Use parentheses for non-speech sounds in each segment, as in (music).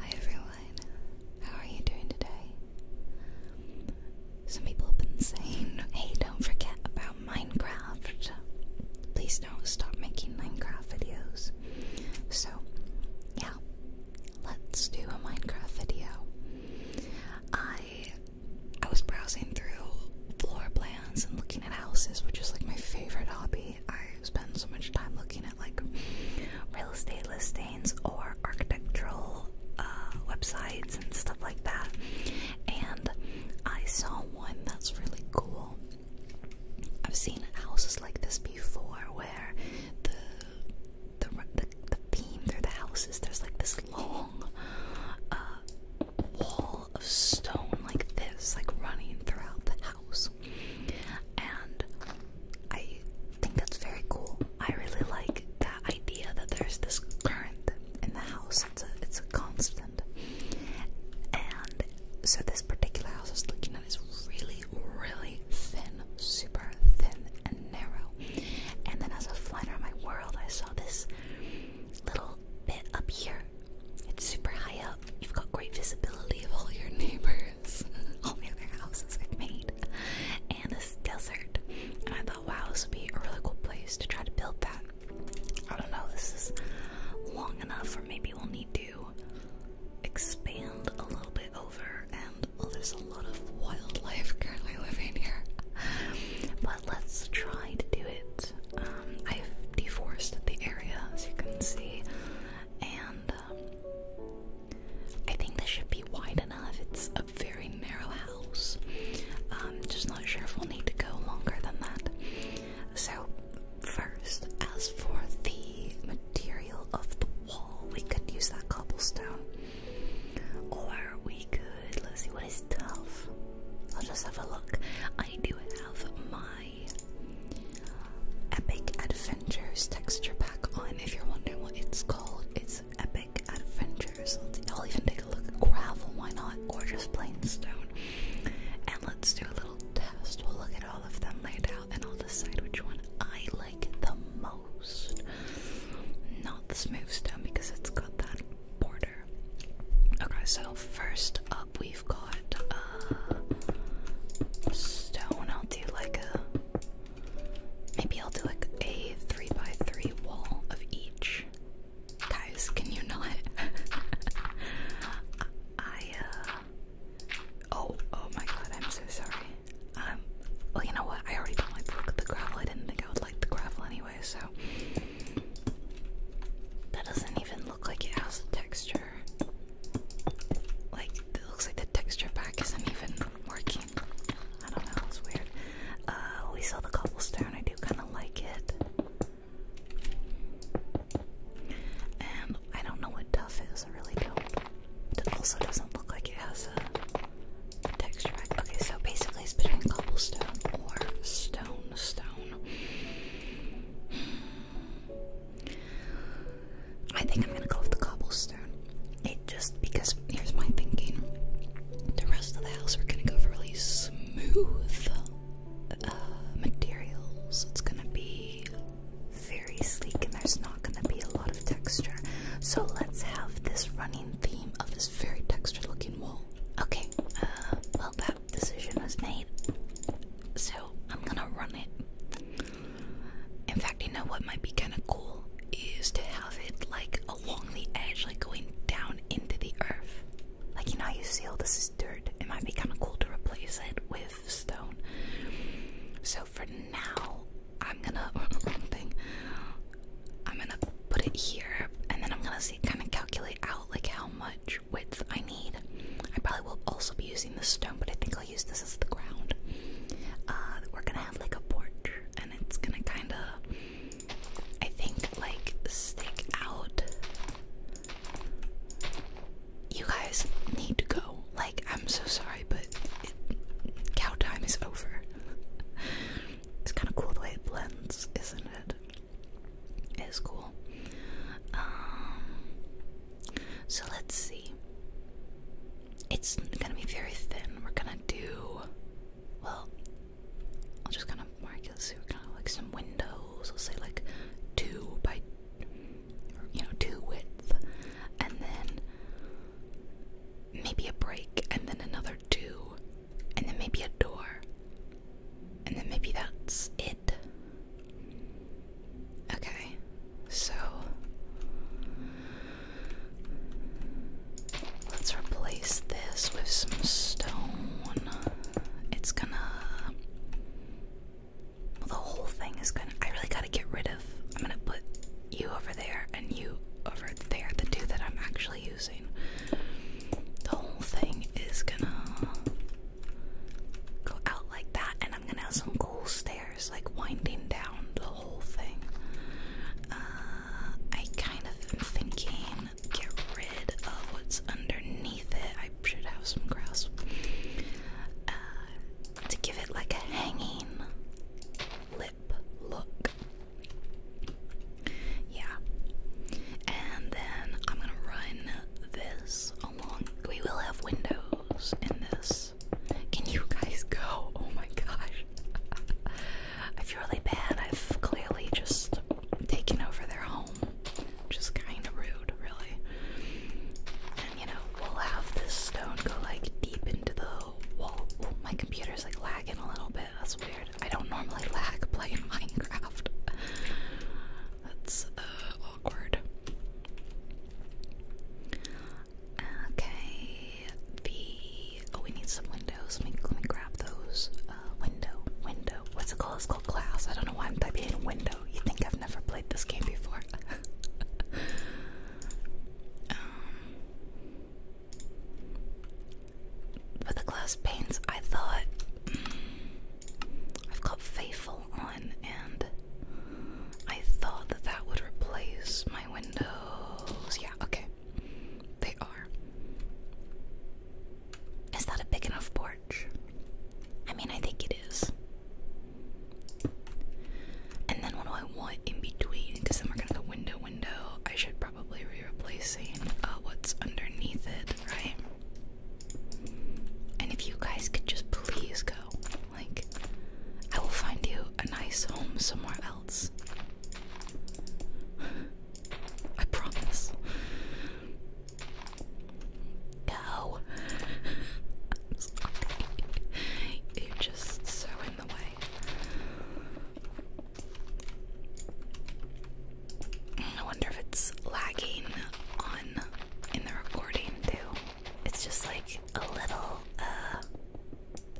Hi everyone, how are you doing today? Some people have been saying, hey, don't forget about Minecraft. Please don't stop making Minecraft videos. So, yeah, let's do a Minecraft video. I I was browsing through floor plans and looking at houses, which is like my favorite hobby. I spend so much time looking at like real estate listings or architectural uh, websites and stuff like that. And I saw one that's really cool. I've seen houses like this before, where the the the, the theme through the houses there's like this long uh, wall of stone like this, like running throughout the house and I think that's very cool. I really like that idea that there's this current in the house. It's a it's a constant, and so this particular house I was looking at is really really thin, super thin and narrow. And then as I was flying around my world, I saw this little bit up here. It's super high up. You've got great visibility of all your (laughs) neighbors acres, only (laughs) their houses are made, and this desert. And I thought, wow, this would be a really cool place to try to build that. I don't know, this is long enough, or maybe we'll need to expand a little bit over. And there's a lot of wildlife currently living here, but let's try to do it. Um, I've deforested the area, as you can see, and I think this should be wide enough. It's a very narrow house. Um, just not sure if we'll need to go longer than that. So, first, as for the material of the wall, we could use that cobblestone. Or we could, let's see, what is tough? I'll just have a look. I do have my Epic Adventures texture pack on. If you're wondering what it's called, it's Epic Adventures. I'll even take a look at gravel, why not? Gorgeous plain stone. And let's do a little test. We'll look at all of them laid out and I'll decide which one I like the most. Not the smooth stone because it's got that border. Okay, so first up we we've got uh, stone. I'll do like a maybe I'll do like a three by three wall of each. Guys, can you not? (laughs) I uh, oh oh my god, I'm so sorry. Um, well you know what? I already don't like the gravel. I didn't think I would like the gravel anyway, so that doesn't even look like it has a texture. Like, it looks like the texture pack isn't even working. I don't know, it's weird. Uh, we saw the cobblestone, I do kind of like it. And I don't know what tough is, I really don't. also doesn't look like it has a texture pack. Okay, so basically it's between cobblestone or stone, stone. I think I'm gonna go with the cobblestone. It just because here's my thinking. The rest of the house we're gonna go for really smooth uh, materials. It's gonna be very sleek and there's not gonna be a lot of texture. So let's have this running theme of this very textured looking wall. Okay, uh, well that decision was made. So I'm gonna run it. In fact, you know what might be kind of cool is to have it like along the edge, like going down into the earth. Like, you know you see all this is dirt? It might be kind of cool to replace it with stone. So, for now, I'm gonna. (laughs) I'm gonna put it here and then I'm gonna see kind of calculate out like how much width I need. I probably will also be using the stone, but I think I'll use this as the ground. Uh, we're gonna have like a porch, and it's gonna kind of, I think, like stick out. You guys need to go. Like, I'm so sorry, but it, is over. (laughs) it's kind of cool the way it blends, isn't it? It is cool. Um, so let's see. It's gonna be very thin. We're gonna do. Well, I'll just kind of mark it. So we're gonna like some windows. I'll say like two by, you know, two width, and then maybe a break, and then another two, and then maybe a door, and then maybe that's it. Okay, so let's replace this with some stone. It's gonna. Well, the whole thing is gonna. I really gotta get rid of. I'm gonna put you over there and you over there, the two that I'm actually using. The whole thing is gonna go out like that, and I'm gonna have some cool stairs like winding down the whole thing. Uh, I kind of am thinking get rid of what's underneath it. I should have some grass. Uh, to give it like a hanging lip look. Yeah. And then I'm gonna run this along. We will have windows in this can you guys go? (laughs) Oh my gosh. (laughs) I feel really bad. I've clearly just taken over their home, which is kind of rude, really. And you know, we'll have this stone go like deep into the wall. Oh, my computer's like lagging a little bit. That's weird. I don't normally lag playing (laughs) Minecraft. That's uh, awkward. Okay, the oh, we need some windows. Let me, let me grab those. Uh, window, window. What's it called? It's called glass. I don't know why I'm typing in window. You think I've never played this game before? (laughs) um, the glass panes. I thought hmm, I've got faith on, and I thought that that would replace my windows. Yeah, okay. They are. Is that a big enough porch? I mean, I think it is. And then what do I want in between? Because then we're gonna go window, window. I should probably be replacing uh, what's underneath it, right? And if you guys could just please go. Like, I will find you a nice home somewhere else. I promise. Go. (laughs) You're just so in the way. I wonder if it's lagging on in the recording too it's just like a little uh,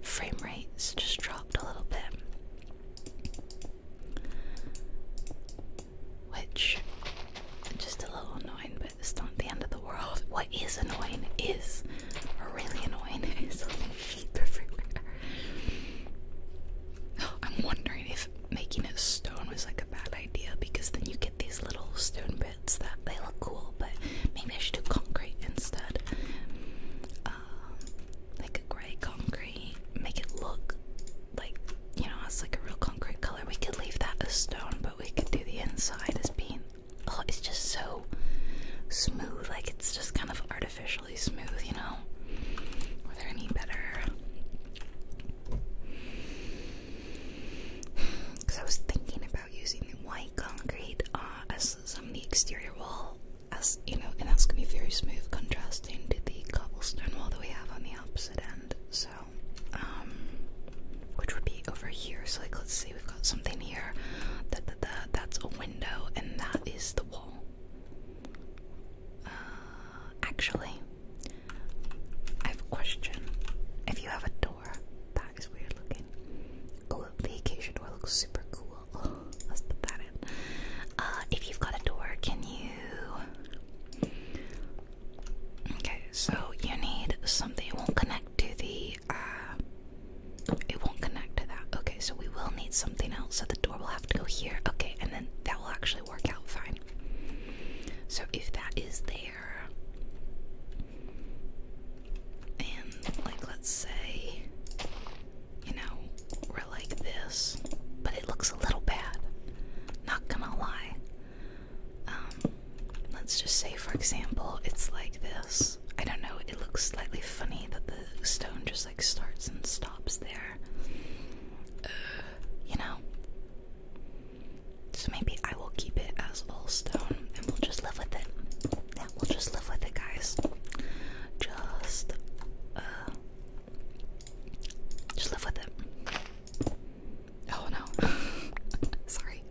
frame rate's just dropped a little bit, which just a little annoying, but it's not the end of the world. What is annoying is really annoying (laughs) is sheep everywhere. I'm wondering if making a stone was like a bad idea because then you get these little stone bits that they look cool, but maybe I should do concrete instead. Um, like a gray concrete, make it look like you know it's like a real concrete color. We could leave that as stone, but we could do the inside as being. Oh, it's just so smooth. Like it's just kind of artificially smooth, you know. Were there any better? Because I was thinking about using white concrete uh, as some of the exterior wall, as you know, and that's gonna be very smooth, contrasting to the cobblestone wall that we have on the opposite end. So, um, which would be over here. So, like, let's see, we've got something here. That that, that that's a window, and that is the wall. Uh, actually, I have a question. If you have a door. That is weird looking. Oh, the door looks super cool. (laughs) let's put that in. Uh, if you've got a door, can you? Okay, so you need something. It won't connect to the. Uh, it won't connect to that. Okay, so we will need something else. So the door will have to go here. Okay, and then that will actually work out fine. So if that is there. And, like, let's say, you know, we're like this, but it looks a little bad. Not gonna lie. Um, let's just say, for example, it's like this. I don't know, it looks slightly funny that the stone just like starts and stops there. Uh, you know? So maybe I will keep it as all stone and we'll just live with it. Yeah, we'll just live with it, guys. Just uh, just live with it. Oh no. (laughs) sorry.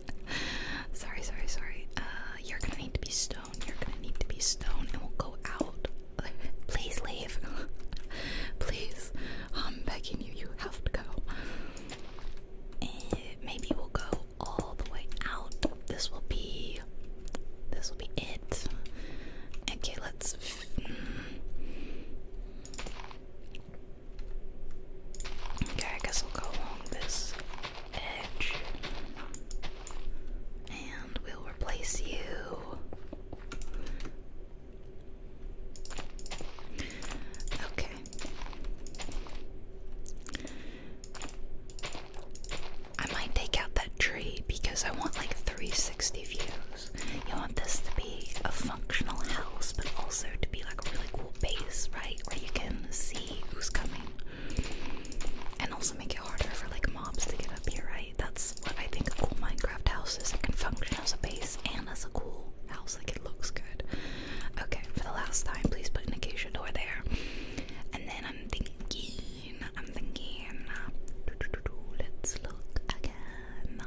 Sorry, sorry, sorry. Uh, you're gonna need to be stone. You're gonna need to be stone and we'll go out. (laughs) Please leave. (laughs) Please. I'm begging you, you have to go. maybe we'll go all the way out. This will be this will be it. Okay, let's mm. Okay, I guess we'll go along this edge. And we'll replace you. Okay. I might take out that tree because I want like 360 views. You want this to be a functional house, but also to be like a really cool base, right? Where you can see who's coming. And also make it harder for like mobs to get up here, right? That's what I think a cool Minecraft house is. It can function as a base and as a cool house. Like it looks good. Okay, for the last time, please put an acacia door there. And then I'm thinking, I'm thinking, let's look again.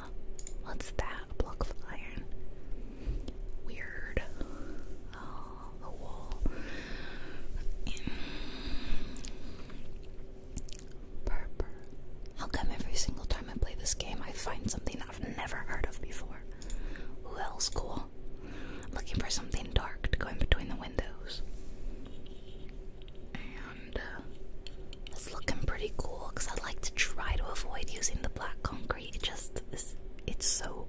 What's that? A block of iron. Weird. the oh, wall. Purple. How come every single time I play this game I find something I've never heard of before? Who else cool? looking for something dark to go in between the windows. And uh, it's looking pretty cool because I like to try to avoid using the black concrete. It just it's so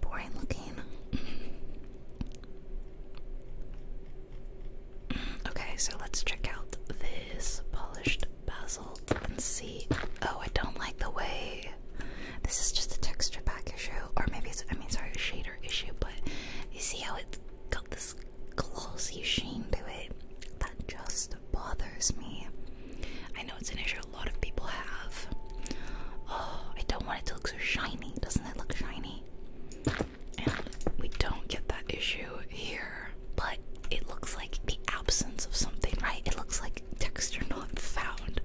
boring looking. (laughs) okay, so let's check out this polished. Basalt and see. Oh, I don't like the way. This is just a texture pack issue, or maybe it's, I mean, sorry, a shader issue, but you see how it's got this glossy sheen to it? That just bothers me. I know it's an issue a lot of people have. Oh, I don't want it to look so shiny. Doesn't it look shiny? we don't get that issue here, but it looks like the absence of something, right? It looks like texture not found.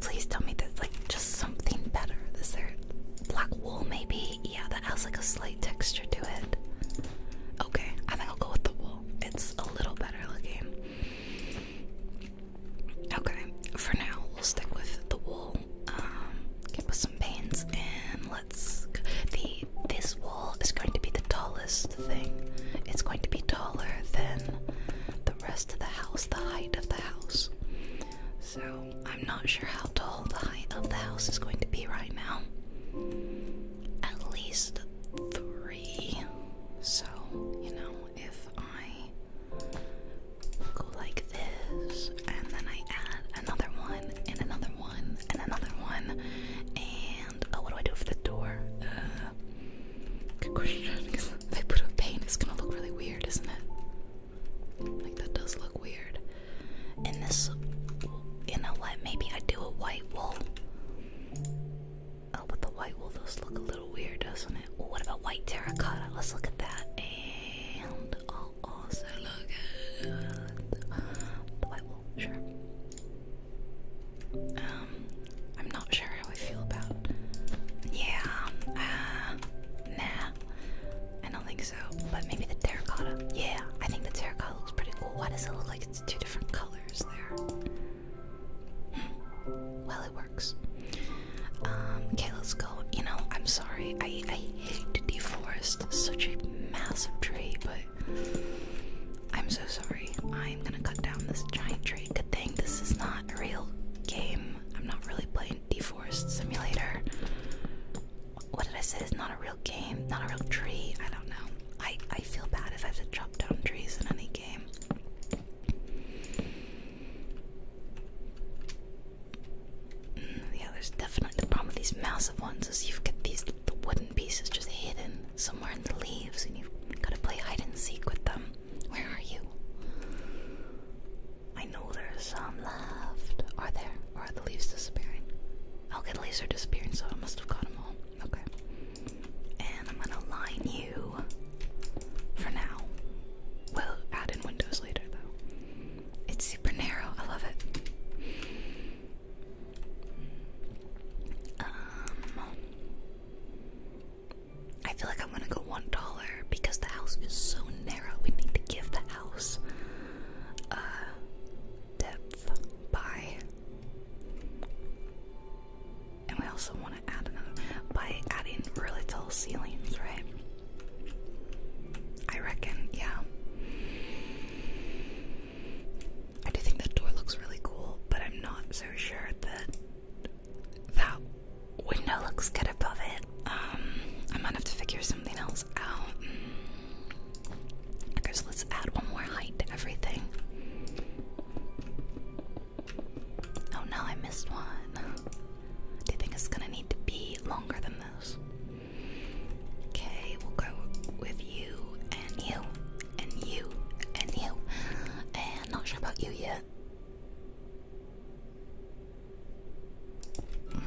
Please tell me that's like just something better. Is there black wool maybe? Yeah, that has like a slight texture to it. Okay, I think I'll go with the wool. It's a little better looking. Okay, for now we'll stick with the wool. Um, can put some paints in. Let's the this wall is going to be the tallest thing. It's going to be taller than the rest of the house, the height of the house. So I'm not sure how tall the height of the house is going to be right now. At least three. So, you know, if I go like this, and then I add another one, and another one, and another one, and oh, what do I do for the door? Uh, good question. (laughs) if I put a paint, it's gonna look really weird, isn't it? Like that does look weird. And this, you know what? Maybe I do a white wool. Oh, but the white wool does look a little weird, doesn't it? what about white terracotta? Let's look at that. And I'll also look at the white wool. Sure. Um, I'm not sure how I feel about. Yeah, uh, nah, I don't think so. But maybe the terracotta. Yeah, I think the terracotta looks pretty cool. Why does it look like it's two different colors there? Hmm. Well, it works. Um, okay, let's go. You know, I'm sorry. I I hate to deforest such a massive tree, but I'm so sorry. I'm gonna cut down this giant tree. Good thing this is not a real game. I'm not really playing Deforest Simulator. What did I say? It's not a real game, not a real tree. I don't know. I, I feel bad if I have to chop down trees in any game. Mm, yeah, definitely the problem with these massive ones is you get these the golden pieces just hidden somewhere in the leaves, and you've got to play hide and seek with them. Where are you? I know there's some left. Are there? Or are the leaves disappearing? I'll get laser disappearing, so I must have got them all. Okay. And I'm gonna line you for now. We'll add in windows later, though. It's super narrow. I love it. Um, I feel like I'm gonna go one dollar because the house is so narrow. We need to give the house uh depth by, and we also want to add another by adding really tall ceilings, right? I reckon, yeah. I do think that door looks really cool, but I'm not so sure that that window looks good above it. Um, I might have to figure something else out. Okay, let's add one more height to everything. Oh no, I missed one. Do you think it's gonna need to be longer than this? Okay, we'll go with you and you and you, and you. And not sure about you yet. Mm.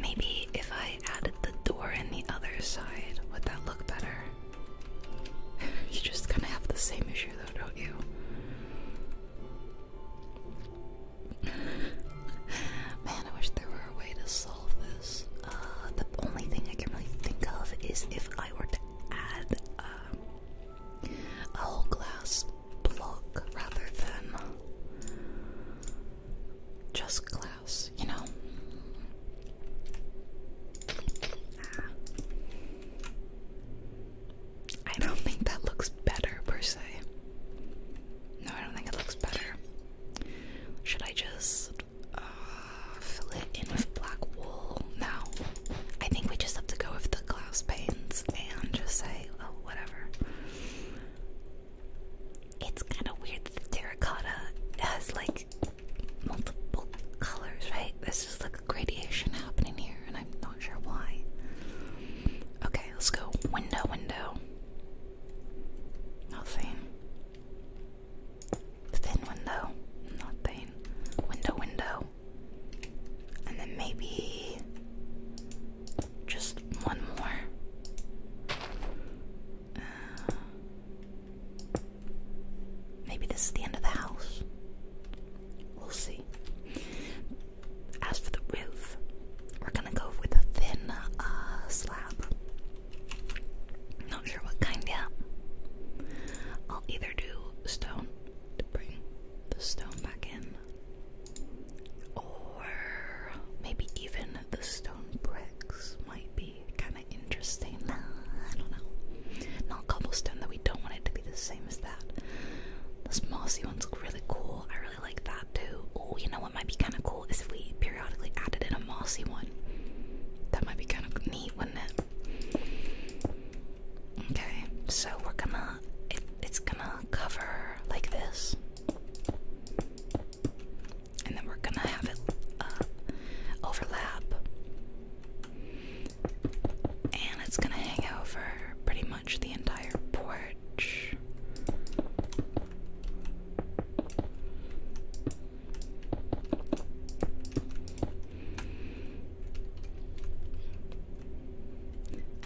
Maybe if I added the door in the other side, would that look better? (laughs) you just kind of have the same issue though, don't you? Man, I wish there were a way to solve this. Uh, the only thing I can really think of is if I were to add um, a whole glass block rather than just glass, you know? Ah. I don't think that looks better per se. No, I don't think it looks better. Should I just uh, fill it in with black wool? now? I think we just have to go with the glass panes and just say, oh, whatever. It's kind of weird that the terracotta has like multiple colors, right? This is like a gradation happening here, and I'm not sure why. Okay, let's go window, window. Nothing. Thin window. Nothing. Window, window. And then maybe just one more. Uh, maybe this is the end of the house. We'll see. As for the roof, we're gonna go with a thin uh, slab. Not sure what kind yet. I'll either do stone to bring the stone back in, or maybe even the stone bricks might be kind of interesting. (laughs) I don't know. Not cobblestone, that we don't want it to be the same as that. Those mossy one's look really cool. I really like that too. Oh, you know what might be kind of cool is if we periodically added in a mossy one. That might be kind of neat, wouldn't it? Okay, so we're gonna, it's gonna cover like this. And then we're gonna have it uh, overlap. And it's gonna hang over pretty much the entire porch. I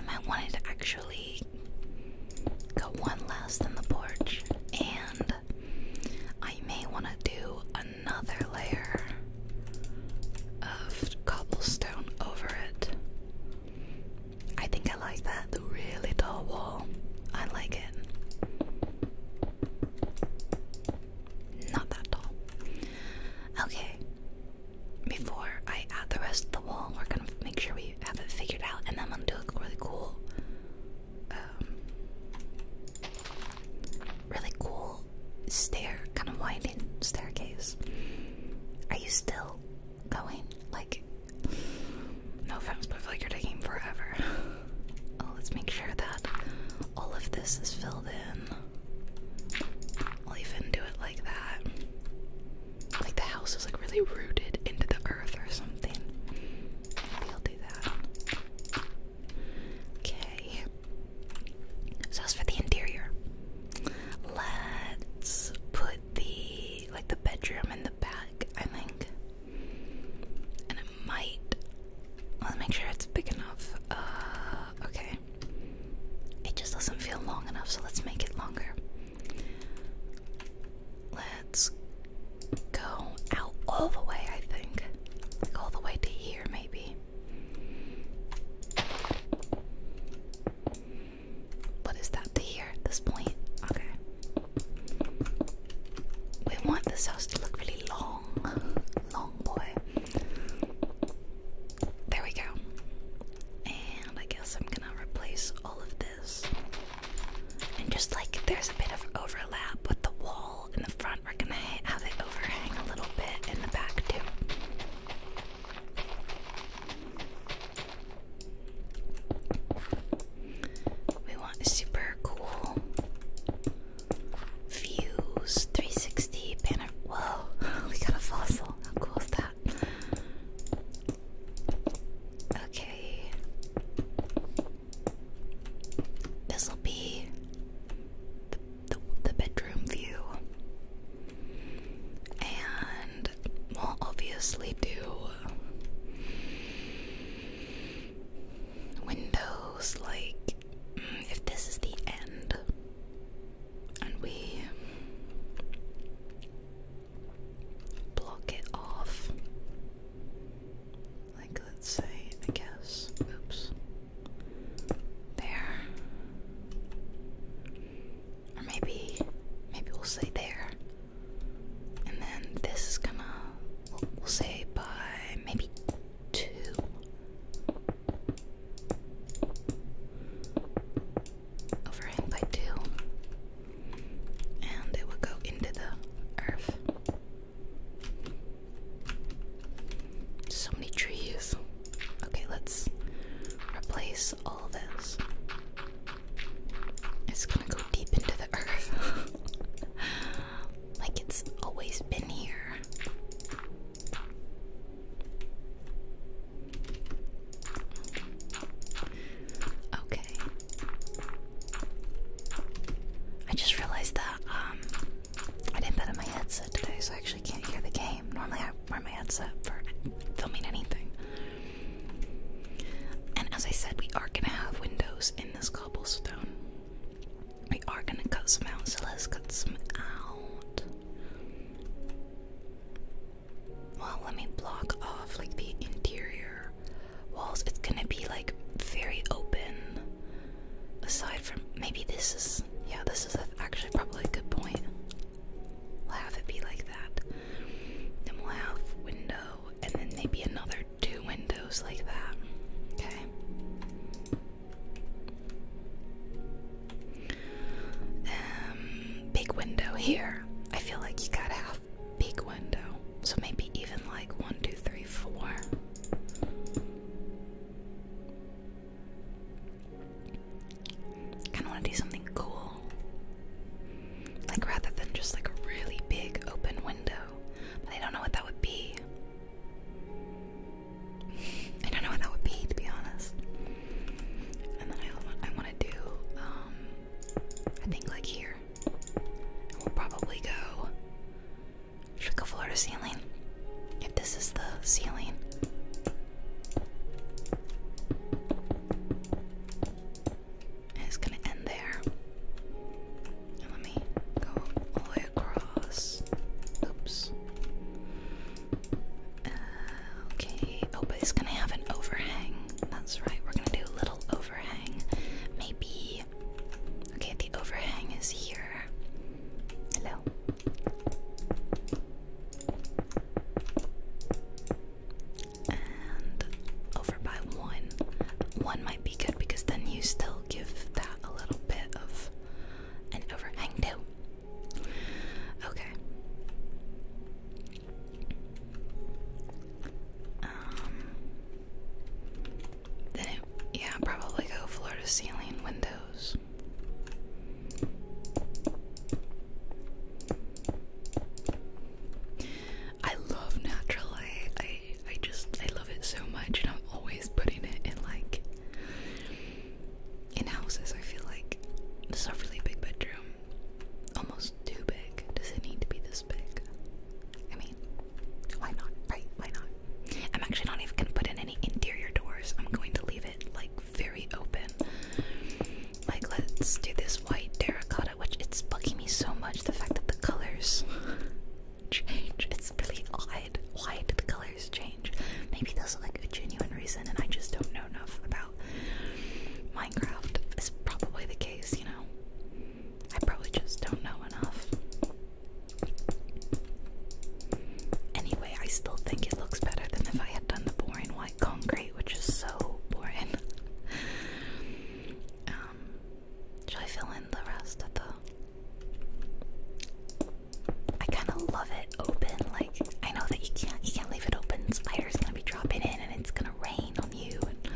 might want to actually go one less than the porch, and I may want to do another layer of cobblestone over it. I think I like that really tall wall. I like it. Not that tall. Okay. Before I add the rest of the wall, we're gonna make sure we have it figured out, and then I'm gonna do a really cool, um, really cool stair, kind of winding staircase. Are you still going? Like, no offense, but I like you're taking forever. (laughs) Oh, let's make sure that all of this is filled in. I'll even do it like that. Like the house is like really rooted into the earth or something. Maybe I'll do that. Okay. So as for the interior, let's put the like the bedroom in the back, I think. And it might. Let's make sure it's big enough. Uh, okay. It just doesn't feel long enough, so let's make it longer. Let's go out all the way, I think. all the way to here, maybe. But that to here at this point? Okay. We want this house to look really long. Long boy. There we go. And I guess I'm gonna replace all of this. And just like there's a bit of overlap with the wall in the front, we're gonna have it overhang a little bit in the back too. We want super cool views, 360 panel. Whoa, (laughs) we got a fossil. How cool is that? Okay. This'll be the, the, bedroom view. And we obviously do windows like mm, if this is the end and we block it off like let's say I guess oops there or maybe maybe we'll say there and then this is gonna we'll say by maybe two. Overhang by two. And it will go into the earth. So many trees. Okay, let's replace all this. It's gonna go deep into the earth. (laughs) like it's always been here. Okay. I just realized that um, I didn't put on my headset today, so I actually can't hear the game. Normally I wear my headset for filming anything. And as I said, we are gonna have windows in this cobblestone. We are gonna cut some out, so let's cut some out. Well, let me block off like the interior walls. It's gonna be like very open. Aside from maybe this is yeah, this is actually probably a good point. We'll have it be like that. Then we'll have window and then maybe another two windows like that. Okay. Um, big window here. I feel like you gotta have big window. So maybe even like one, two, three, four. Kind of want to do something cool. Like rather than just like a really big open window. But I don't know what that would be. I don't know what that would be to be honest. And then I want I want to do um, I think like here. we'll probably go should go floor to ceiling? If this is the ceiling. it's gonna end there let me go all the way across. Oops. Uh, okay. Oh, but it's gonna have an overhang. That's right. We're gonna do a little overhang. Maybe. Okay, the overhang is here. Hello. Uh, and over by one. One might be good because then you still give that a little bit of an overhang too. Okay. Um, then yeah, probably go floor to ceiling windows. I love natural light. I just I love it so much and I'm always putting it in like in houses I feel like this is a really big bedroom. Almost too big. Does it need to be this big? I mean, why not? Right? Why not? I'm actually not even gonna put in any interior doors. I'm going to leave it like very open. Like let's do this white terracotta, which it's bugging me so much the fact that the colors change. It's really odd. Why did the colors change? Maybe there's like a genuine reason, and I just don't know enough about Minecraft. It's probably the case, you know. I probably just don't know enough. Anyway, I still think it looks better than if I had done the boring white concrete, which is so boring. (laughs) Um, should I fill in the rest of the? I kind of love it open. Like I know that you can't you can't leave it open. Spiders gonna be dropping in, and it's gonna rain on you. And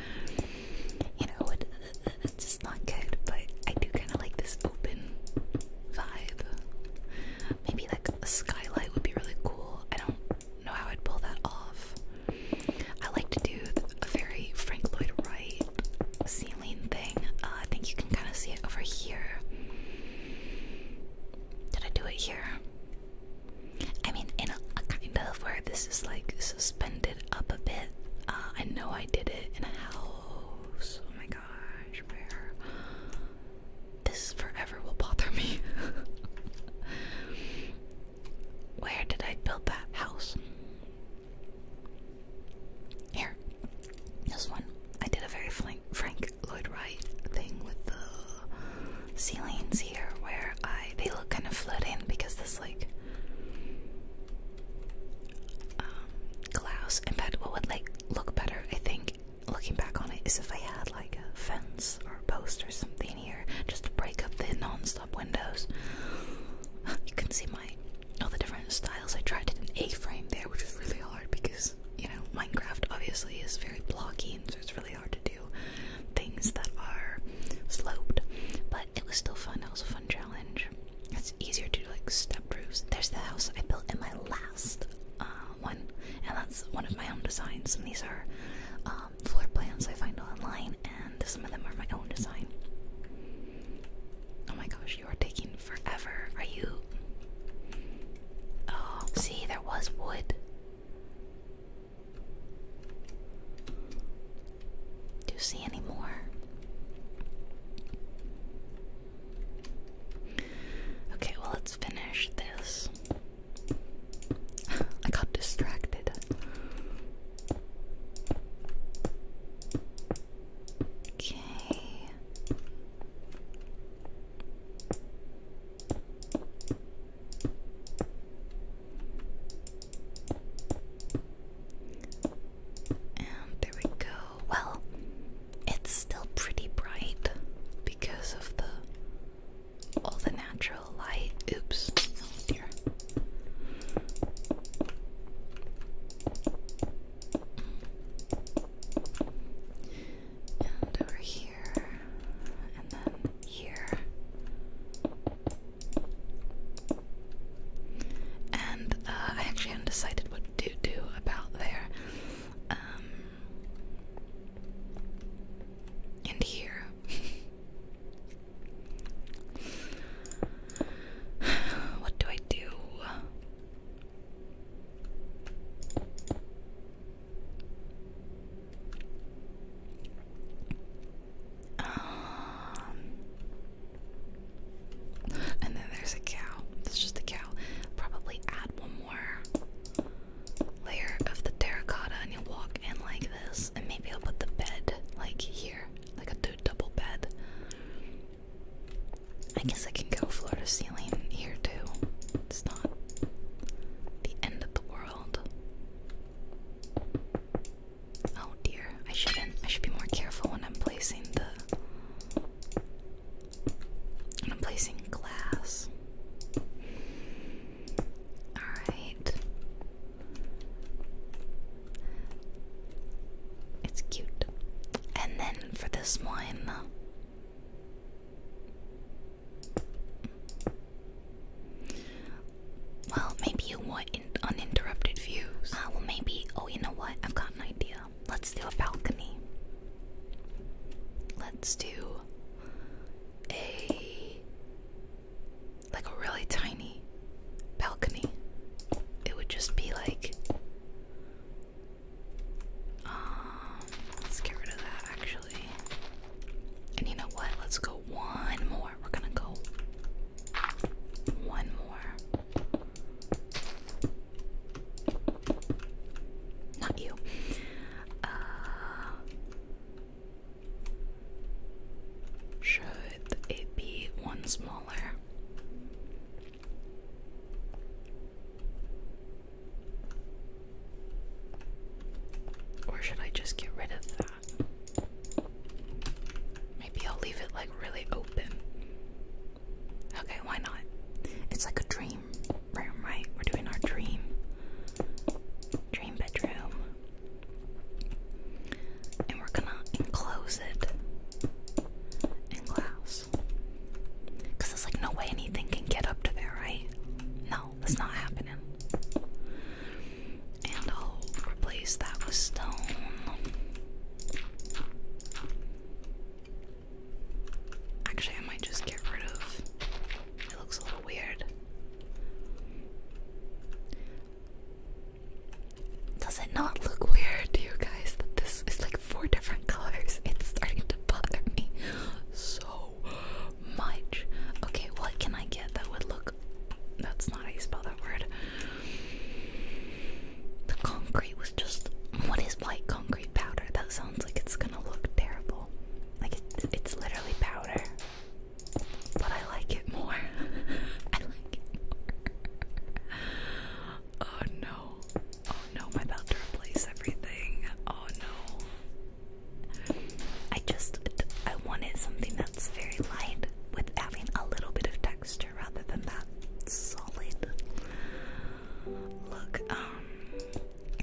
you know it, it, uh, uh, uh, it's just not good. But I do kind of like this open vibe. Maybe like a skylight would be really cool. I don't know how I'd pull that off. I like to do a very Frank Lloyd Wright ceiling thing. Uh, I think you can kind of see it over here. Did I do it here? I mean, in a, kind of where this is like suspended up a bit. Uh, I know I did it in a house. Oh my gosh, where? This forever will bother me. (laughs) where did I build that house? Here, this one. I did a very Frank Lloyd Wright thing with the ceilings here, where I they look kind of floating because this like um, glass in fact what would like look better, I think, looking back on it, is if I had like a fence or a post or something here just to break up the non windows. (sighs) you can see my all the different styles. I tried it in A-frame there, which was really hard because you know Minecraft obviously is very blocky, so it's really hard to do things that are sloped. But it was still fun. It was a fun challenge. It's easier to do like step roofs. There's the house I built in my last uh, one, and that's one of my own designs. And these are um, floor plans I find online and some of them are my own design. Oh my gosh, you are taking forever. Are you? Oh, see, there was wood. Do you see any more? Okay, well, let's finish this. (sighs) I got distracted. Okay. And um, there we go. Well, it's still pretty bright because of the all the natural light. Oops. And over here, and then here. And uh, I actually haven't decided what to do about there. Um, and here. (laughs) (sighs) What do I do? Um, and then there's a cow. That's just a cow. Probably add one more layer of the terracotta, and you walk in like this. And maybe I'll put the bed like here like a double bed. I guess I can go floor to ceiling here too. It's not the end of the world. Oh dear, I shouldn't. I should be more careful when I'm placing the. When I'm placing glass. Alright. It's cute. And then for this one, uh, well, maybe you want uninterrupted views. Uh, maybe. Oh, you know what? I've got an idea. Let's do a balcony. Let's do a like a really tiny balcony. It would just be like um, let's get rid of that actually. And you know what? Let's go one more. We're gonna go one more. Not you. Uh, should it be one small or should I just get rid of that? Maybe I'll leave it like really open. Okay, why not? It's like a dream room, right? We're doing our dream dream bedroom and we're gonna enclose it in glass. there's like no way anything can get up to there, right? No, that's not happening. And I'll replace that with stone. Actually, I might just get rid of it, looks a little weird. Does it not look weird to you guys that this is like four different colors? It's starting to bother me so much. Okay, what can I get that would look. That's not how you spell that word. The concrete was just. What is white concrete powder? That sounds like it's gonna look terrible. Like it's literally powder. But I like it more. (laughs) I like it (laughs) oh no. Oh no, I'm about everything. Oh no. I just I wanted something that's very light with having a little bit of texture rather than that solid look. Um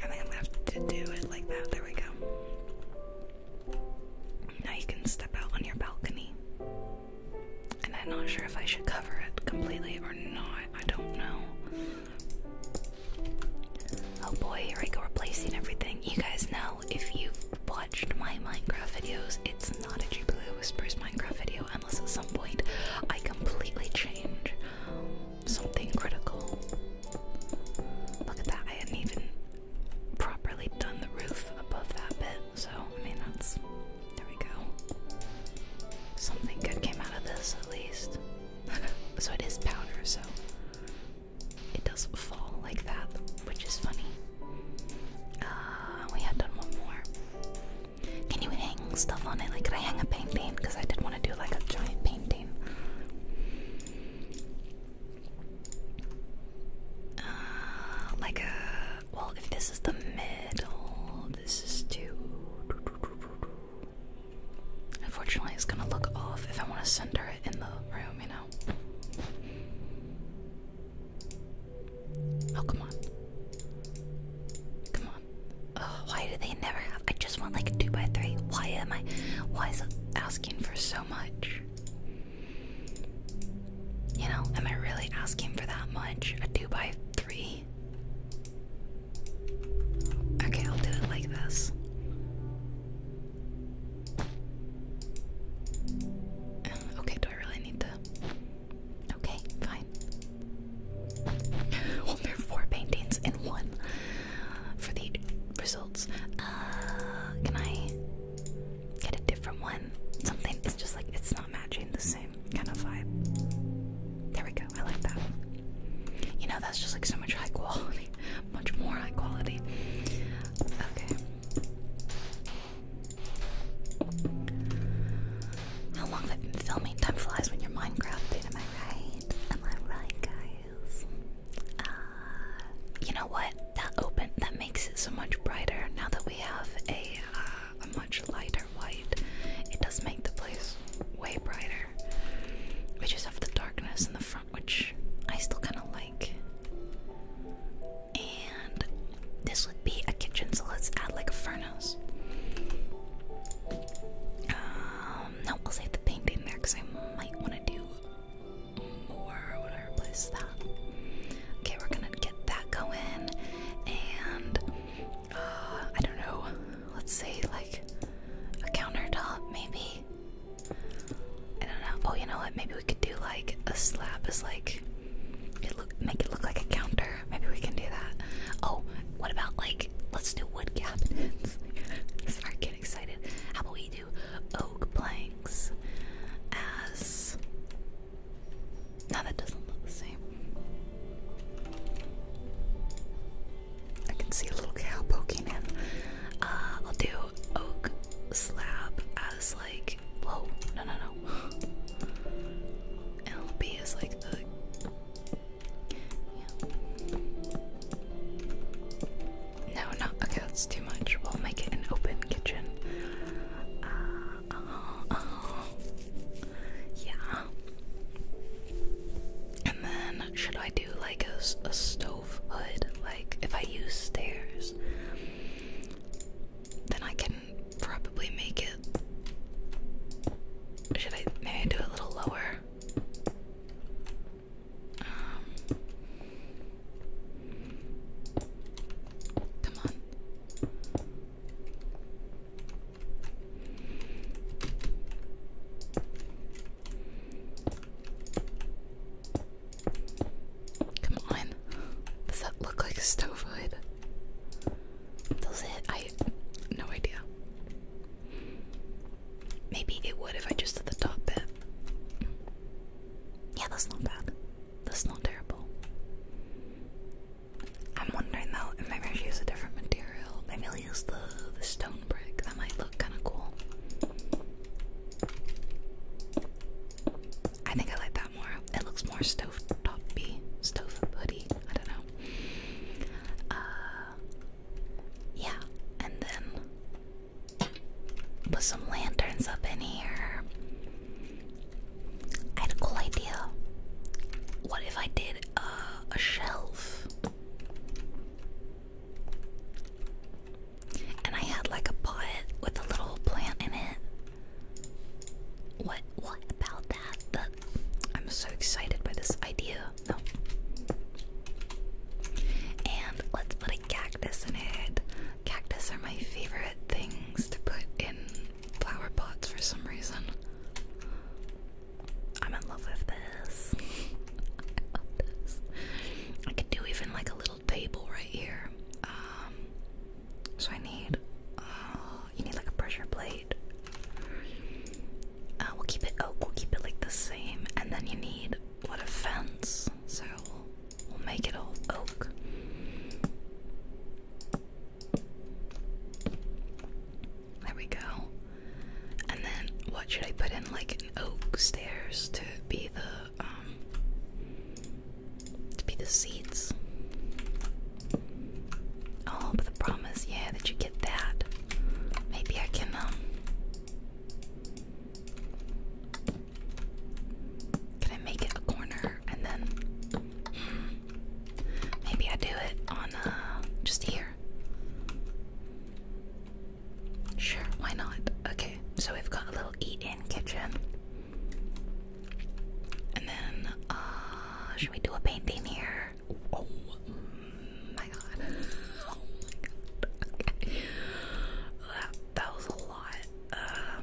I'm gonna have to do it like that. There we go. Now you can step out on your balcony and I'm not sure if I should cover it completely or not. I don't know. Oh boy, here I go replacing everything. You guys know if you've watched my Minecraft videos, it's not a Jubilee Whispers Minecraft video unless at some point I completely change something critical. Look at that, I hadn't even properly done the roof above that bit. So, I mean, that's. There we go. Something good came out of this, at least. (laughs) so, it is powder, so. It does not fall like that, which is funny. Uh, we had done one more. Can you hang stuff on it? Like, could I hang a painting? Because I did want to do like a giant painting. Uh, like a well, if this is the middle, this is two. Unfortunately, it's gonna look off if I want to center it in the room, you know? Oh, come on. Come on. Oh, why do they never have. I just want like a 2x3. Why am I. Why is it asking for so much? You know, am I really asking for that much? A 2 by 3 Okay, I'll do it like this. Okay, do I really need to? Okay, fine. (laughs) Well, there are four paintings in one for the results. Uh, can I? get a different one. Something it's just like it's not matching the same kind of vibe. There we go. I like that. You know, that's just like so much high quality, (laughs) much more high quality. Okay. How long have I been filming? Time flies when you're Minecrafting, am I right? Am I right, guys? Uh, you know what? That open that makes it so much brighter now that we have a uh, a much lighter white. It does make the place way brighter. We just have the darkness in the front, which I still kind of like. And this would be a kitchen, so let's add like a furnace. Um, no, I'll save the painting there because I might want to do more. when I replace that. Okay, we're gonna get that going, and uh, I don't know. Let's say like a countertop, maybe. I don't know. Oh, you know what? Maybe we could do like a slab is like it look make it look like a counter. Maybe we can do that. Oh, what about like let's do wood cabinets? Start (laughs) get excited. How about we do oak planks as now that doesn't look the same. I can see a little cow poking in. Uh, I'll do oak slab as like. Whoa, no, no, no. And it'll be as like the. No, no, okay, that's too much. We'll make it an open kitchen. Uh, (laughs) Yeah. And then, should I do like a, stove hood? Like, if I use stairs, then I can probably make it. Should I do it a little lower? Um, come on. Come on. Does that look like a stove hood? Does it? I no idea. Maybe it would if I just did the top bit. Yeah, that's not bad. That's not terrible. I'm wondering though maybe I should use a different material. Maybe I'll use the the stone brick. That might look kind of cool. I think I like that more. It looks more stove toppy, stove hoodie. I don't know. Uh, yeah, and then put some lanterns up in here. I had a cool idea. What if I did uh, a shelf? And I had like a pot with a little plant in it. What? What about that? That I'm so excited by this idea. No. Oh. And let's put a cactus in it. Cactus are my favorite things to put in flower pots for some reason. I'm in love with this. (laughs) I could do even like a little table right here. Um, so I need, uh, you need like a pressure plate. Uh, we'll keep it oak. We'll keep it like the same, and then you need what a fence. So we'll make it all oak. There we go. And then what should I put in? Like oak stairs to be the um, to be the seats. Oh, but the promise, yeah, that you get that. Maybe I can um Can I make it a corner and then hmm, Maybe I do it on uh just here. Sure, why not? Okay, so we've got a little eat-in kitchen. And then uh should we do a painting here? Oh my god. (laughs) Oh my god. (laughs) That that was a lot. Um,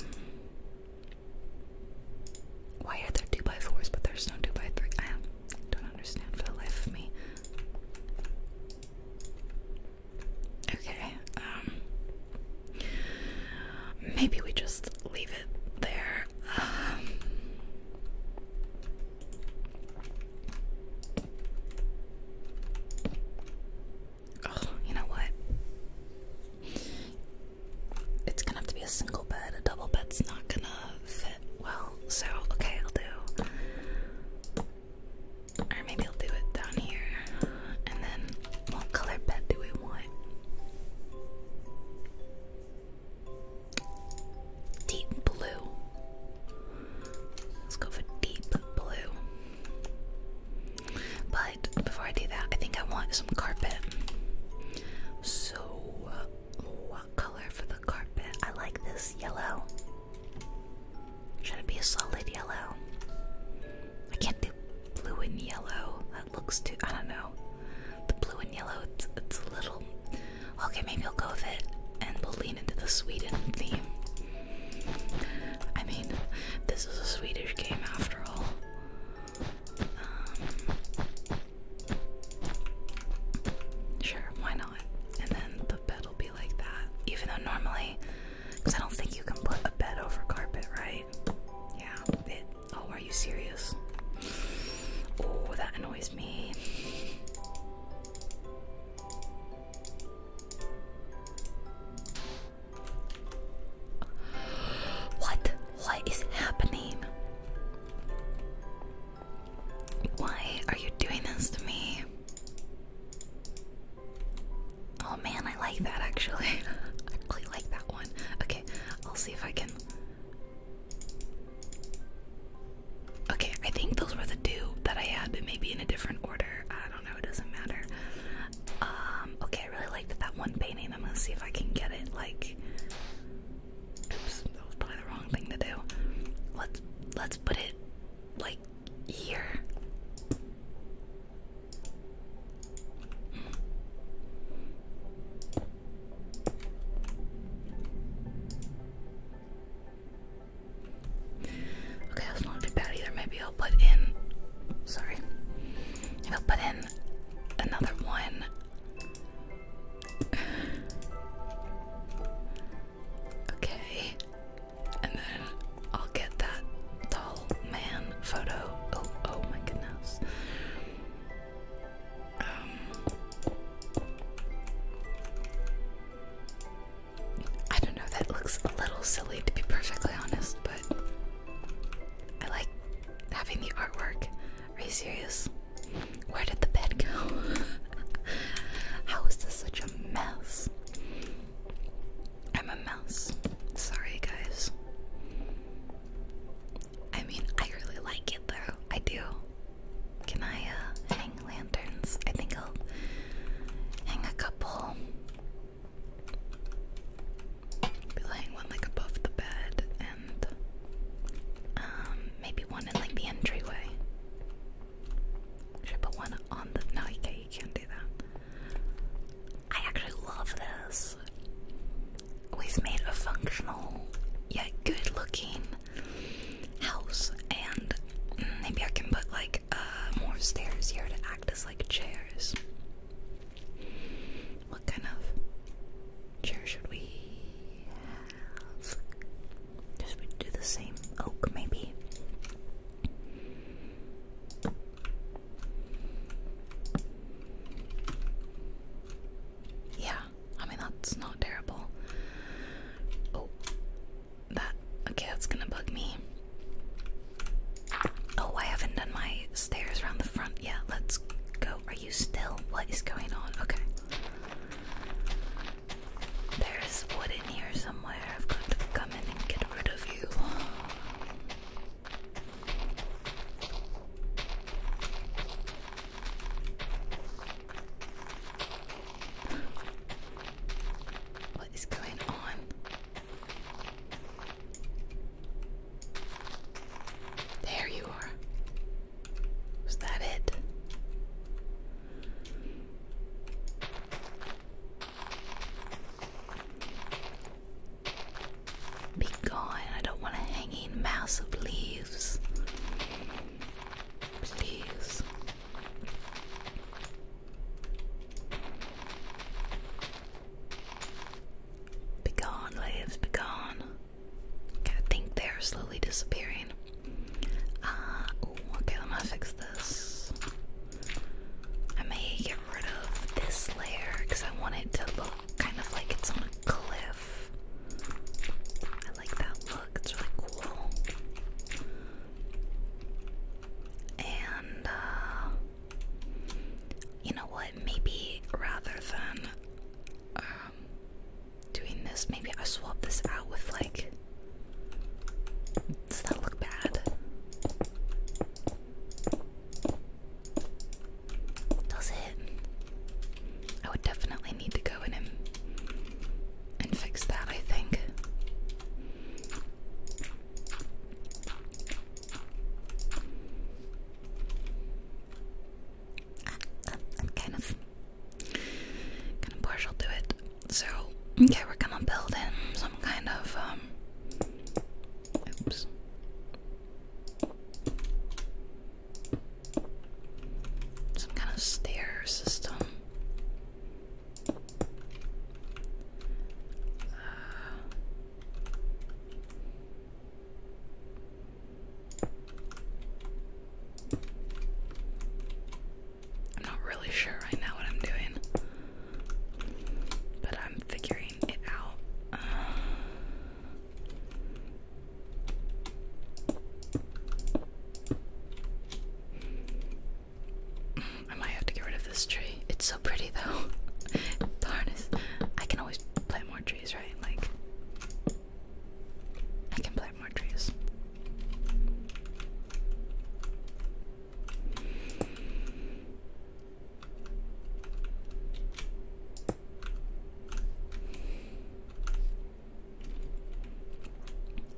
why are there 2x4s but there's no 2x3? I don't understand for the life of me. Okay, um. Maybe we just leave it there. Um, oh, you know what? it's gonna have to be a single bed. A double bed's not gonna fit well. So okay, I'll do. Or maybe I'll do it down here. And then what color bed do we want? Deep blue. Let's go for deep blue. But before I do that, I think I want some carpet. So, uh, what color for the carpet? I like this yellow. Should it be a solid yellow? I can't do blue and yellow. That looks too. I don't know. The blue and yellow, it's, it's a little. Okay, maybe I'll go with it and we'll lean into the Sweden theme. I mean, this is a Swedish game after all. Um, sure, why not? And then the bed will be like that. Even though normally, because I don't think you can put a bed over carpet, right? Yeah. oh, are you serious? Oh, that annoys me. What? What is happening? Why are you doing this to me? Oh man, I like that actually. (laughs) I really like that one. Okay, I'll see if I can. Okay, I think those were the two that I had, but maybe in a different order. I don't know, it doesn't matter. Um, okay, I really liked that one painting. I'm gonna see if I can get it like oops, that was probably the wrong thing to do. Let's let's put it like here. Okay, that's not too bad either. Maybe I'll put in. Sorry. I'll put in another one okay. And then I'll get that tall man photo. Oh, oh my goodness. Um, I don't know, that looks a little silly to be perfectly honest, but I like having the artwork. Are you serious? Where did the bed go? (laughs) How is this such a mess? I'm a mess. Sorry, guys. I mean, I really like it though. I do. Can I uh, hang lanterns? I think I'll hang a couple be laying one like above the bed and um maybe one in like the entryway. Should I put one on the no you can't do that. I actually love this. We've made a functional yet good looking house and mm, maybe I can put like uh, more stairs here to act as like chairs. What kind of chair should we have? Just do the same oak, maybe. Yeah, I mean that's not terrible. Oh, that okay, that's gonna bug me. Oh, I haven't done my stairs around the front yet. Let's go. right you still? What is going on? Okay. There's wood in here somewhere. I've got to come in and get rid of you. What is going on? There you are. Was that it? Be gone. I don't want a hanging mass of leaves. Please. Begone, leaves, begone. I think they're slowly disappearing. Uh, okay, let me fix this. I may get rid of this layer because I want it to look kind of like it's on a cliff. I like that look, it's really cool. And, uh, you know what? Maybe rather than uh, um, doing this. Maybe I swap this out with like. Does that look bad? Does it? I would definitely need to go in and and fix that. I think kind of kind of partial to it. So okay, we're gonna build in some kind of um, Oops. Some kind of stair system. Uh, I'm not really sure right now what I'm doing, but I'm figuring it out. Uh, I might have to get rid of this tree. It's so pretty though. (laughs) Darn it. I can always plant more trees, right? Like I can plant more trees.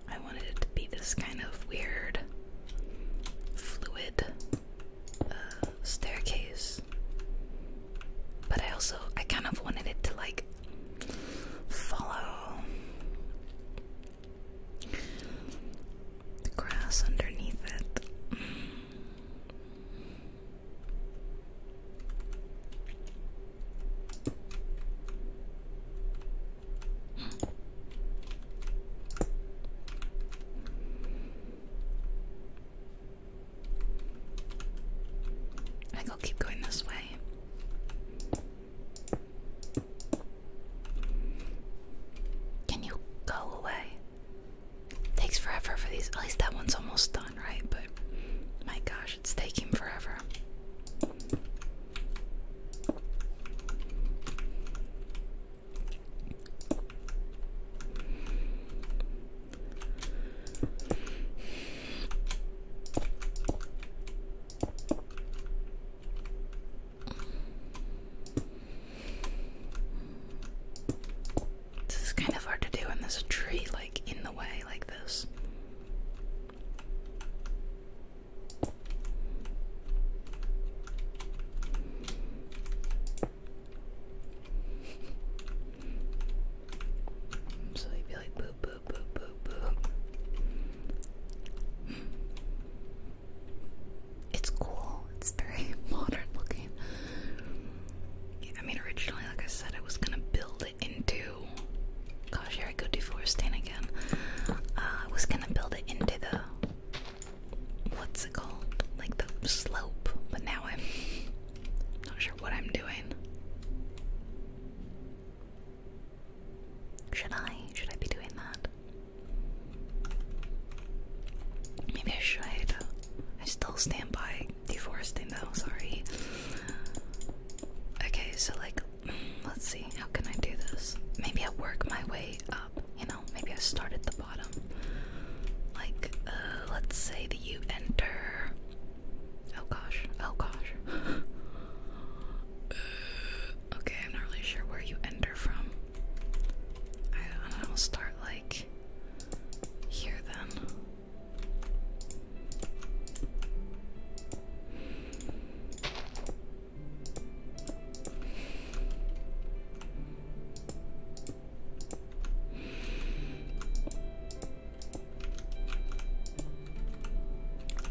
I wanted it to be this kind of weird, fluid uh, staircase but I also I kind of wanted it to like follow the grass underneath it. I think I'll keep going this way. Can you go away? takes forever for these. At least that one's almost done, right? But my gosh, it's taking forever. This is kind of hard to do, and there's a tree like in the way, like this. So he'd like boop boop boop boop boop. It's cool. It's very (laughs) modern looking. I mean, originally, like I said, I was gonna build it into. Gosh, here I go deforesting again. Uh, I was gonna build it into the. What's it called? Like the slope, but now I'm not sure what I'm doing. Should I? Should I be doing that? Maybe I should. I still stand by deforesting though, sorry. Okay, so like, let's see, how can I do this? Maybe I work my way up, you know? Maybe I start at the bottom. Like, uh, let's say that you enter Oh gosh, oh gosh. (laughs) okay, I'm not really sure where you enter from. I'll start like here then.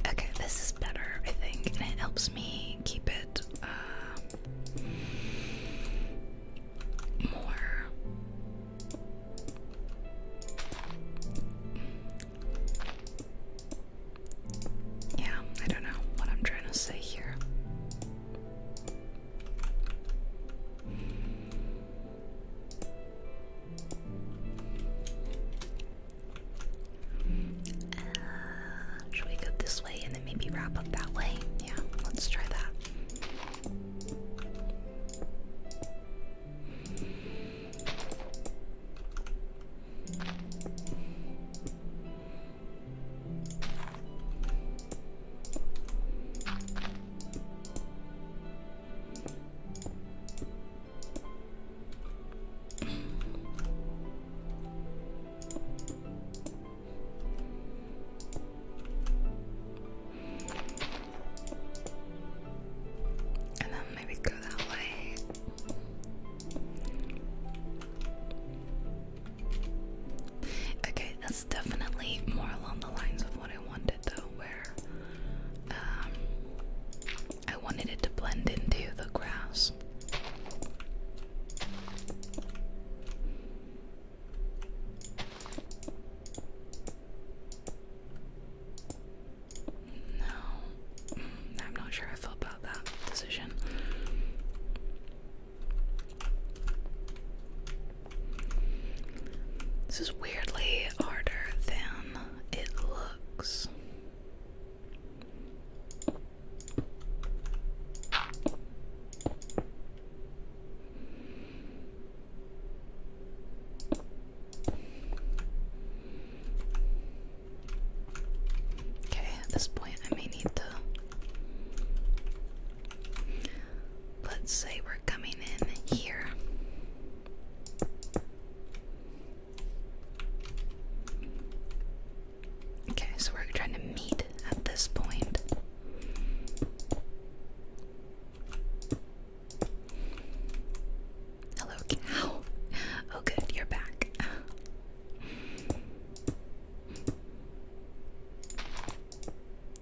Okay, this is better, I think, and it helps me keep it uh, more. Yeah, I don't know what I'm trying to say here should we go this way and then maybe wrap up that way? Yeah, let's try that. And then maybe go that way. Okay, that's definitely more along the lines of what I wanted though, where um, I wanted it to blend into the grass. No, mm, I'm not sure I felt about that decision. This is weirdly harder than it looks. Okay, at this point, I may need to. Let's say we're coming in here. Okay, so we're trying to meet at this point. Hello, cow. Oh, good, you're back.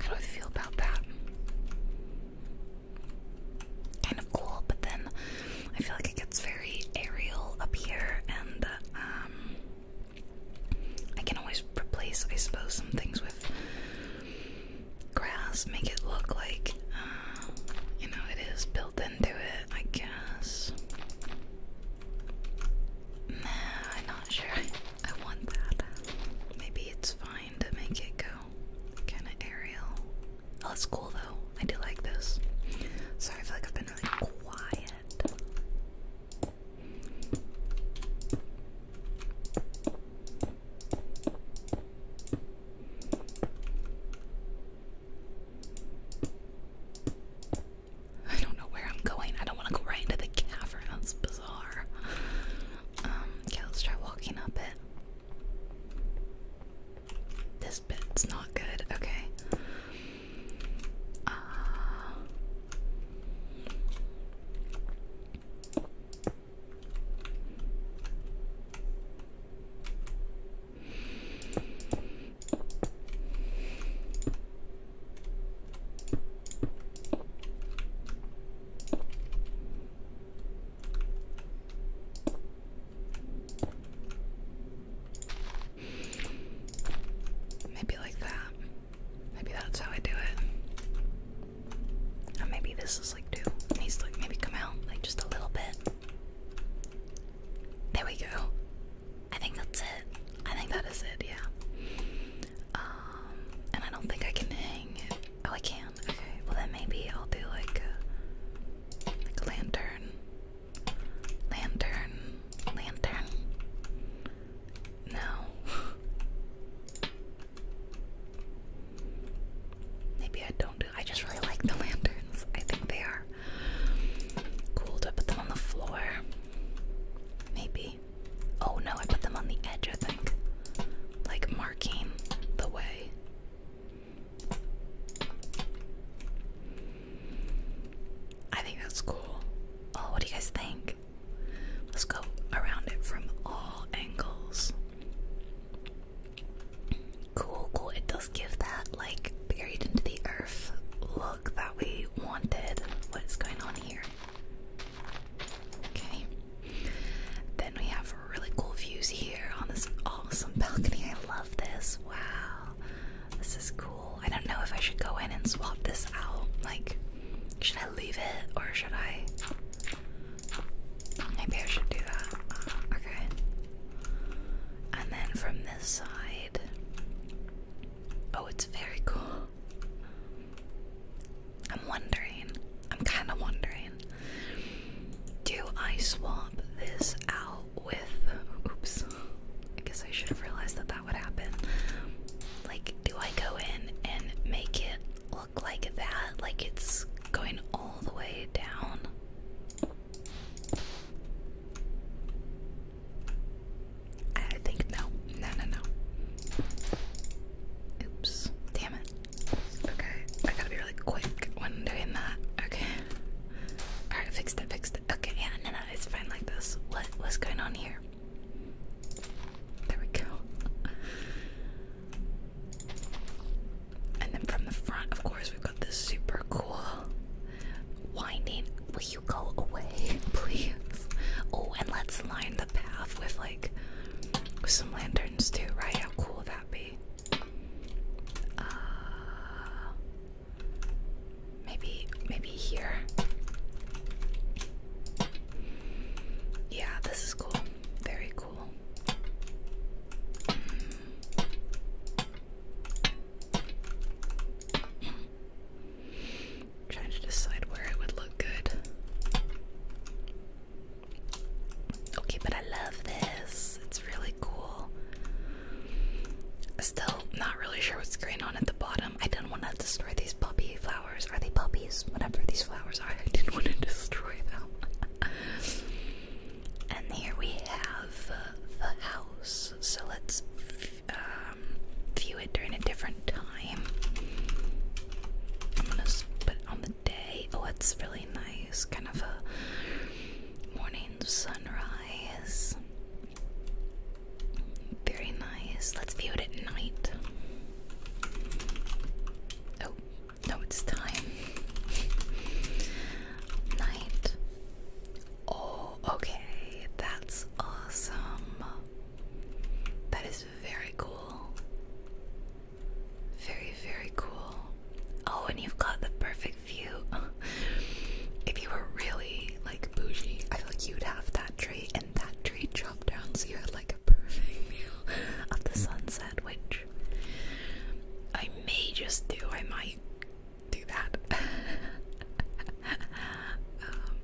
How do I feel about that? Kind of cool, but then I feel like it gets very aerial up here, and um, I can always replace, I suppose, some things with grass, make it look like uh, you know it is built into it, I guess. Nah, I'm not sure. (laughs) I want that. Maybe it's fine to make it go kind of aerial. Oh, cool though. I do like this. Sorry, I feel like I've been really quiet. I don't know where I'm going. I don't want to go right into the cavern. That's bizarre. Um, let's try walking up it. This bit's not good. Okay. Uh, Maybe like that. Maybe that's how I do it. Or maybe this is like two. It needs to like maybe come out like just a little bit. There we go. I think that's it. I think that is it, yeah. Um, and I don't think I can hang Oh, I can. Okay, well then maybe I'll do like a, like a lantern. Lantern. Lantern. No. (laughs) Maybe I don't do I just really like the lanterns. I think they are cool to put them on the floor. Maybe. Oh no, I put them on the edge, I think. Like marking the way. I think that's cool. Oh, what do you guys think? Let's go around it from all angles. Cool, cool. It does give that, like, buried into the earth look that we wanted. What is going on here? Okay. Then we have really cool views here on this awesome balcony. I love this. Wow. This is cool. I don't know if I should go in and swap this out. Like, should I leave it or should I? Maybe I should do that. Uh, okay. And then from this side. Oh, it's very cool. I'm wondering, I'm kind of wondering, do I swap this out with, oops, I guess I should have realized that that would happen. Like, do I go in and make it look like that? Like it's going all the way down? I think no, no, no, no. Oops, damn it. Okay, I gotta be really quick when doing that. Okay. All right, fixed it, fixed it. Okay, yeah, no, no, it's fine like this. What, what's going on here? There we go. And then from the front, of course, we've got this super cool winding go away, (laughs) please? Oh, and let's line the path with like some lanterns too, right? How cool would that be? Uh, maybe, maybe here. Yeah, this is cool. Very cool. Mm. I'm trying to decide where it would look good. Okay, but I love this. It's really cool. Still not really sure what's going on at the bottom. I didn't want to destroy these puppy flowers. Are they puppies? Whatever these flowers are, (laughs) I didn't want to destroy them. (laughs) and here we have uh, the house. So let's um, view it during a different time. put on the day. Oh, it's really nice, kind of a morning sunrise. Very nice. Let's view it at night. Oh, no, it's time. (laughs) Night. Oh, okay. That's awesome. That is very cool. Very, very cool. Oh, and you've got the perfect view. (laughs) if you were really like bougie, I feel like you'd have that tree and that tree chopped down so you had like a perfect view of the sunset, which I may just do. I might do that. (laughs) Um,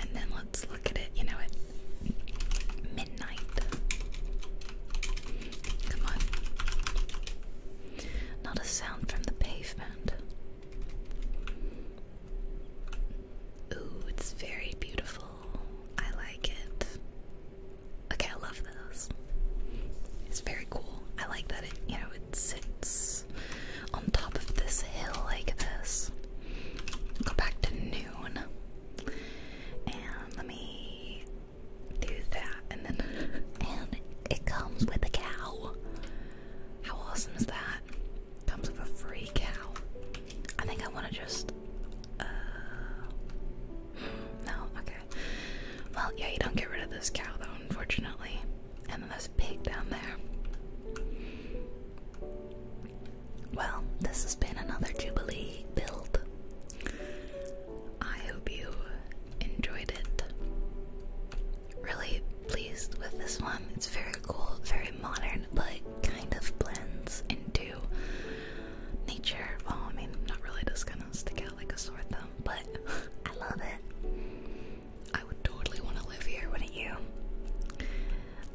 and then let's look at it, you know, at midnight. Come on. Not a sound from the pavement. Ooh, it's very beautiful. I like it. Okay, I love this. It's very cool. I like that it, you know, it sits on top of this hill like this go back to noon. And let me do that. And then, (laughs) and it comes with a cow. How awesome is that? Comes with a free cow. I think I want to just. Uh, no, okay. Well, yeah, you don't get rid of this cow though, unfortunately. And then there's pig down there. Well, this has been another Jubilee build. I hope you enjoyed it. Really pleased with this one. It's very cool, very modern, but kind of blends into nature. Well, I mean, not really just gonna stick out like a sore thumb, but (laughs) I love it. I would totally want to live here, wouldn't you?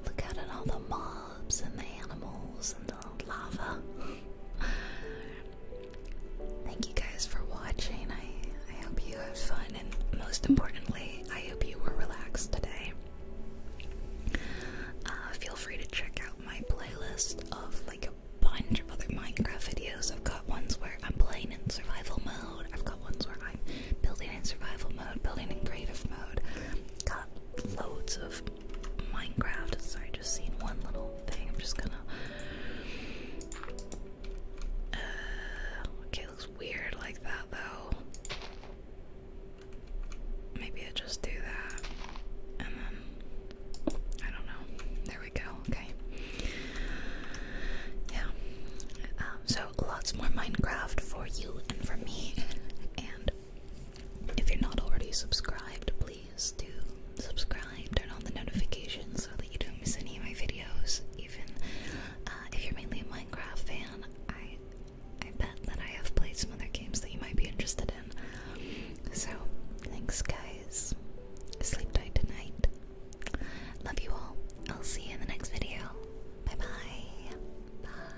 Look out at all the mobs and the animals and the lava. Thank you guys for watching. I, I hope you had fun, and most importantly, I hope you were relaxed today. Uh, feel free to check out my playlist of like a bunch of other Minecraft videos. I've got ones where I'm playing in survival mode, I've got ones where I'm building in survival mode, building in creative mode. Got loads of Minecraft. Sorry, just seen one little thing. I'm just gonna. Uh, okay, looks weird like that though. Maybe I just do that. And then. I don't know. There we go. Okay. Yeah. Um, so lots more Minecraft for you and for me. And if you're not already subscribed, please do subscribe, turn on the notifications so that you don't miss any of my videos. Even uh, if you're mainly a Minecraft fan, I I bet that I have played some other games that you might be interested in. So, thanks, guys. Sleep tight tonight. Love you all. I'll see you in the next video. Bye bye. Bye.